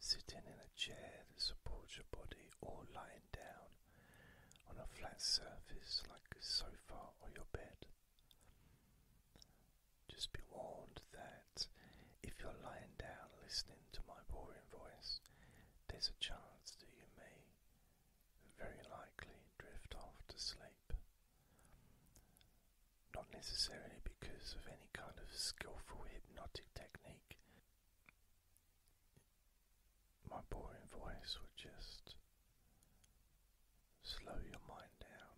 Sitting in a chair that supports your body or lying down on a flat surface like a sofa or your bed. Just be warned that if you're lying down listening to my boring voice, there's a chance that you may very likely drift off to sleep. Not necessarily because of any kind of skillful hypnotic technique, my boring voice will just slow your mind down.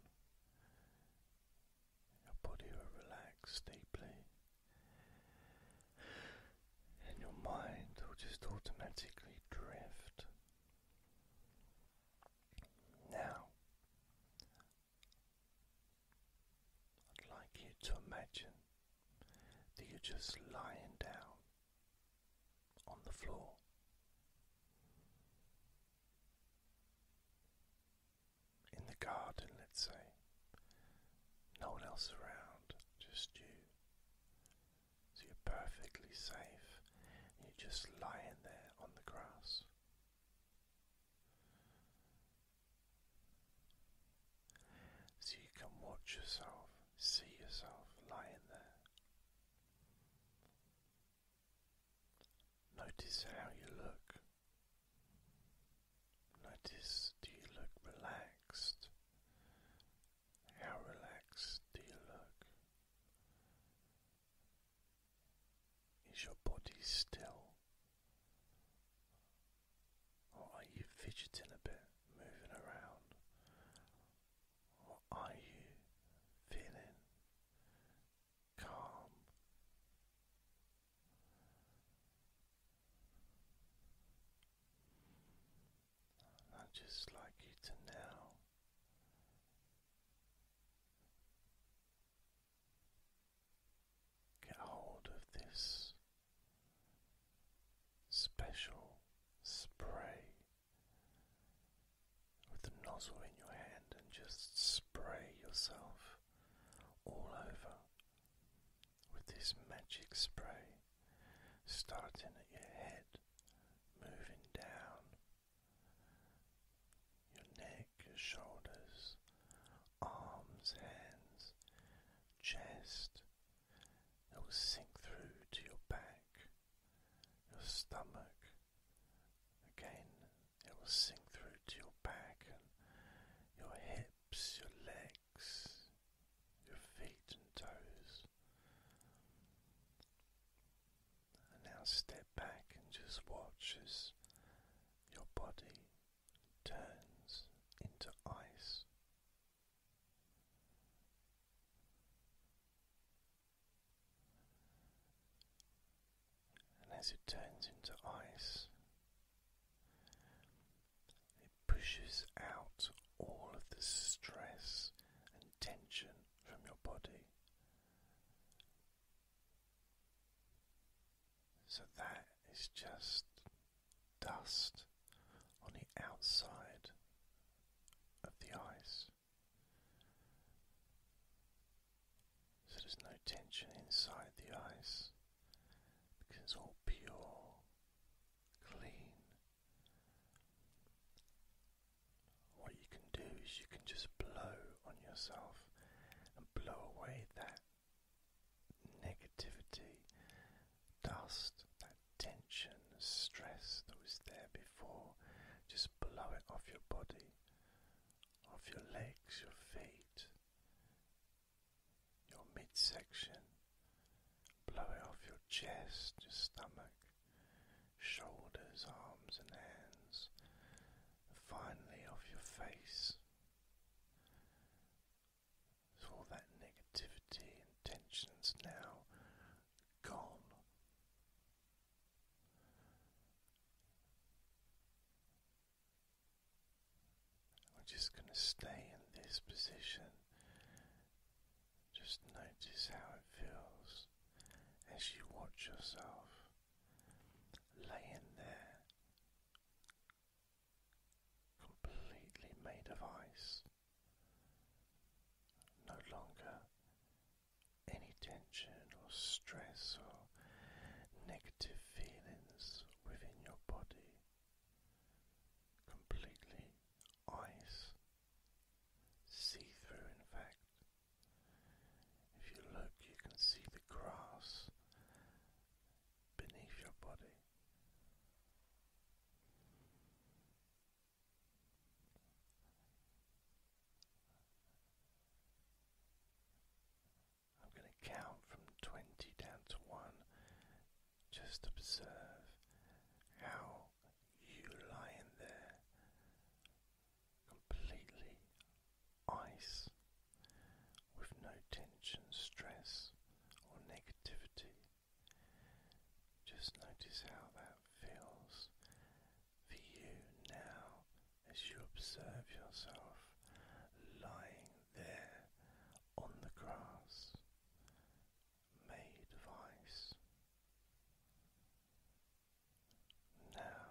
Your body will relax deeply, and your mind will just automatically drift. Now, I'd like you to imagine that you're just lying down on the floor. In the garden, let's say, no one else around, just you. So you're perfectly safe, you're just lying there on the grass. So you can watch yourself, see yourself lying there. Notice how you look. Notice do you look relaxed? How relaxed do you look? Is your body still? are you fidgeting a bit, moving around? are you feeling calm? I'd just like you to know. Get hold of this special spray with the nozzle in your hand and just spray yourself all over with this magic spray, starting at your head, moving down your neck. Your shoulders, arms, hands, chest. It will sink through to your back, your stomach. Again, it will sink through to your back and your hips, your legs, your feet and toes. And now step back and just watch as your body turns into ice. And as it turns into ice, it pushes out all of the stress and tension from your body. So that is just dust on the outside of the ice. So there's no tension inside the ice because it's all pure, clean. What you can do is you can just blow on yourself and blow away that negativity, dust, that tension, stress that was there before, just blow it off your body, off your legs, your feet, your midsection, blow it off your chest, your stomach, shoulders, arms, and hands, finally off your face. So all that negativity and tension's now gone. We're just going to stay in this position. Just notice how it feels as you watch yourself laying there, completely made of ice, no longer any tension or stress or negative feelings within your body, completely ice. See through, in fact, if you look, you can see the grass beneath your body. I'm going to count from 20 down to 1. Just observe how you lying there completely ice with no tension, stress, or negativity. Just notice how that feels for you now as you observe yourself lying there on the grass, made of ice. Now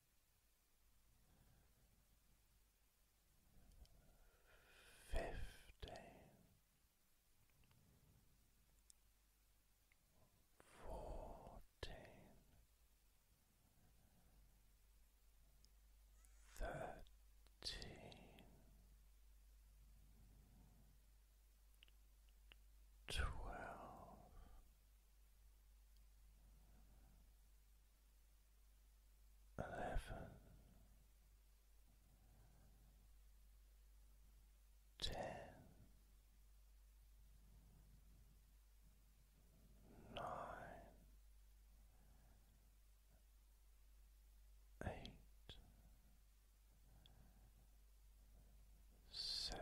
fifteen, fourteen, thirteen, twelve eleven, ten, nine, eight, seven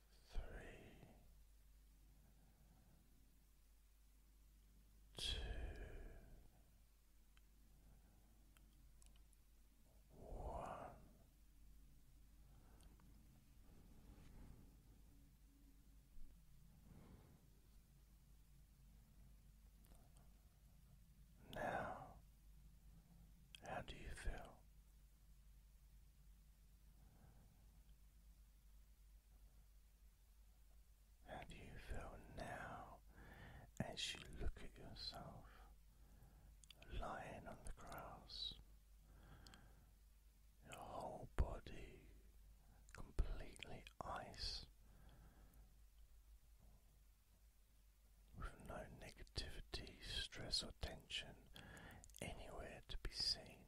three, two, one. Now, how do you feel? How do you feel now as you look at yourself lying on the grass? Your whole body completely ice with no negativity, stress, or tension anywhere to be seen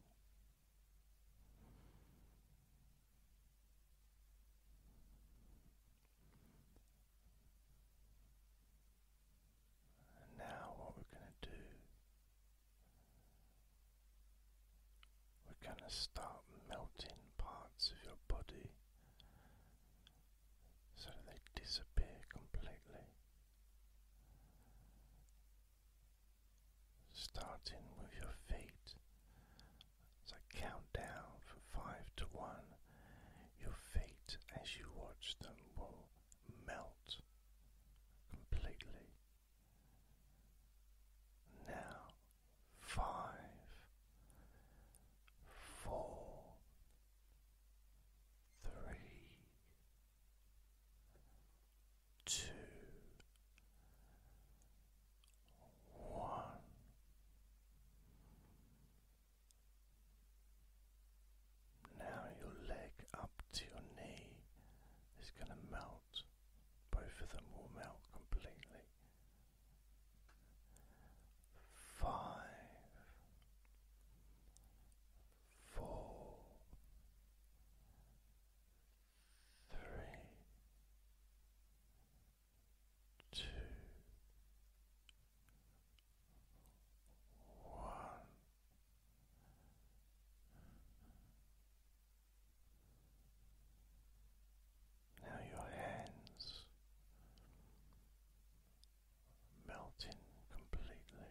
now, what we're going to do, we're going to start melting parts of your body so that they disappear completely starting with your feet. As I count down from five to one, your feet, as you watch them, will melt completely. Now, five, four, three, two, one. Now your leg up to your knee is going to melt. Both of them will melt completely. Five, four, three, two, one. Now your hands melting completely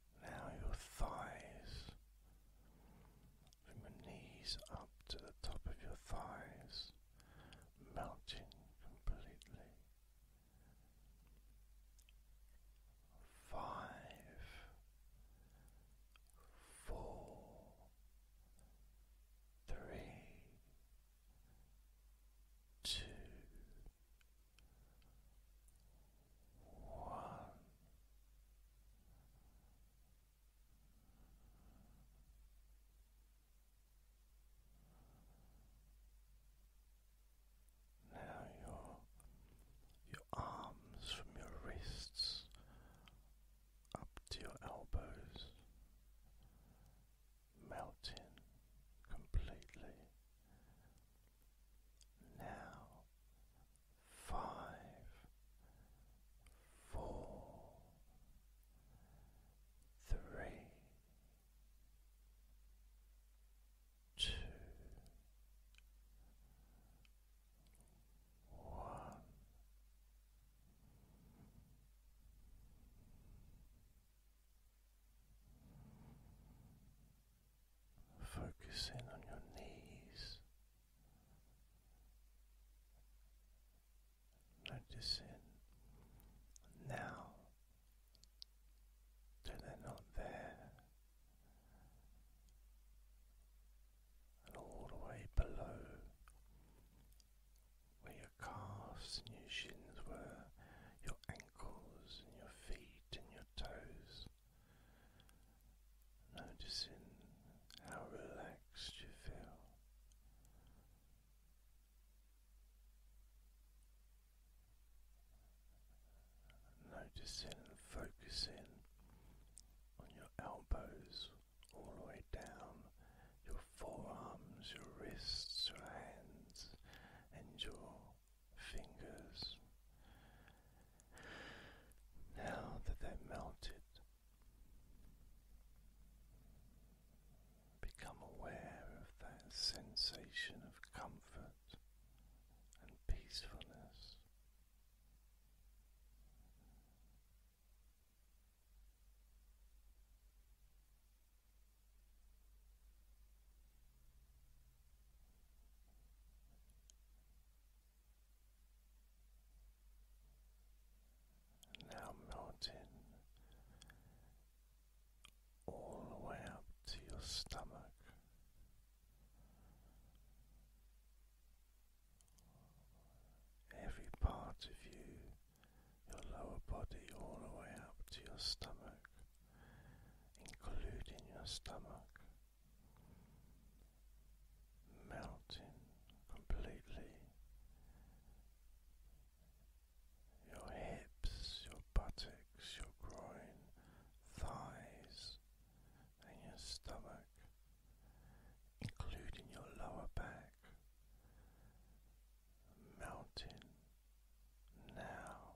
Now your thighs, from your knees up to the top of your thighs, melting completely. Five, four, three, two, one. Now your your arms from your wrists up to your elbows melting completely now, five, four, three, two, one focusing on your knees, noticing now that they're not there, and all the way below where your calves and your shins were, your ankles your feet and your toes. Noticing how relaxed you feel. Noticing focusing on your elbows all the way down, your forearms, your wrists, your hands, and your fingers. Now that they are melted, become aware of that sensation of comfort and peacefulness. Now melting all the way up to your stomach. Every part of you, your lower body, all the way up to your stomach including your stomach, melting completely. Your hips, your buttocks, your groin, thighs, and your stomach, including your lower back, melting now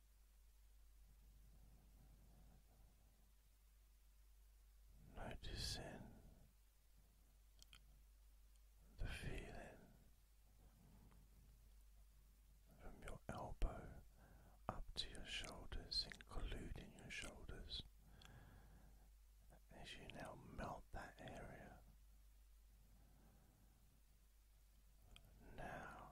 Noticing the feeling from your elbow up to your shoulders, including your shoulders, as you now melt that area. Now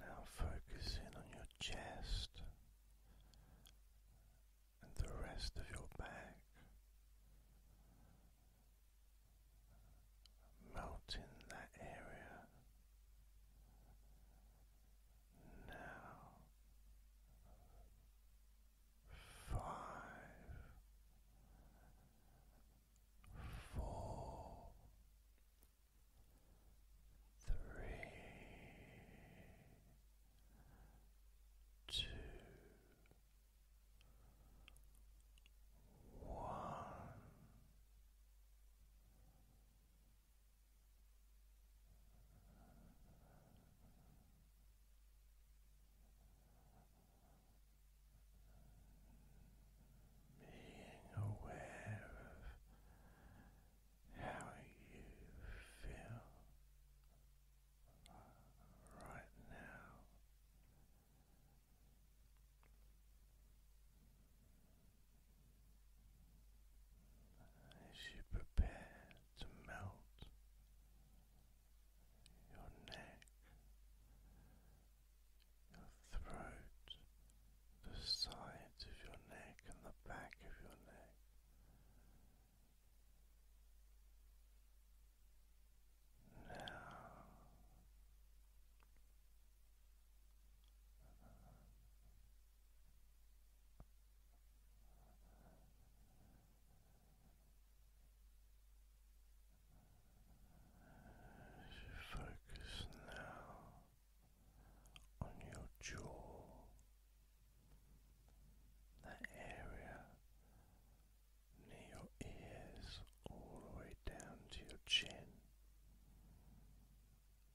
Now focus in on your chest and the rest of your back, melting that area now, five, four, three, two, one. Being aware of how you feel right now as you prepare to melt your neck, your throat, the sides of your neck, and the back of your neck. Now as you focus now on your jaw, that area near your ears all the way down to your chin.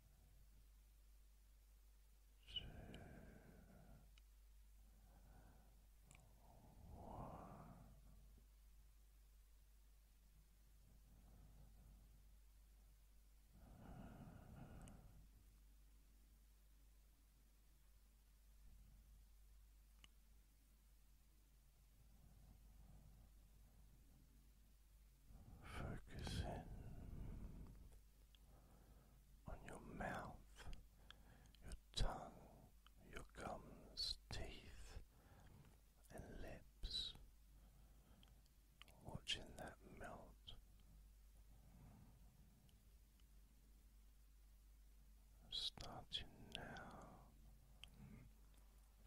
Focusing on your mouth, your tongue, your gums, teeth, and lips, watching that melt. Starting now,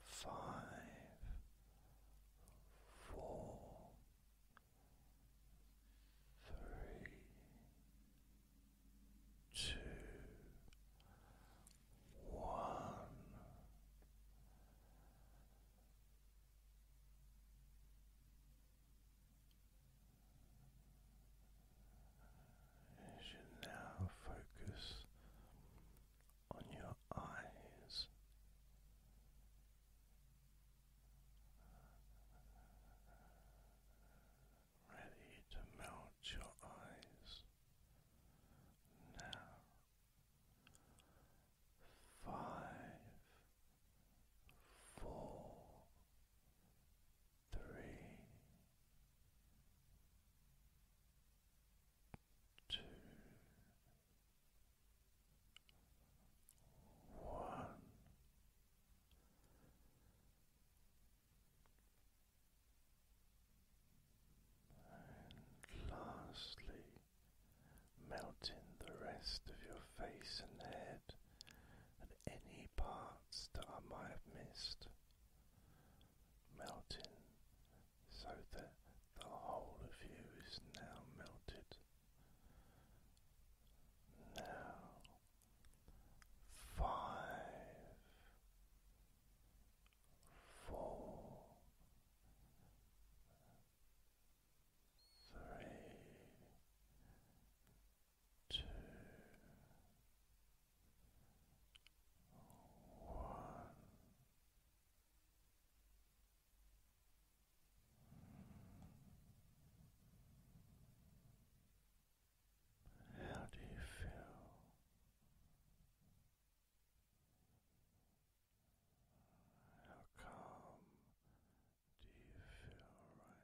five, four, three, two, one. As you now focus on your eyes, ready to melt your eyes. Now, five, four, three, two one. And lastly, melting the rest of your face and head and any parts that I might have missed. Melting so that the whole of you is now melted. Now, five, four, three, two, one. How do you feel? How calm do you feel right now?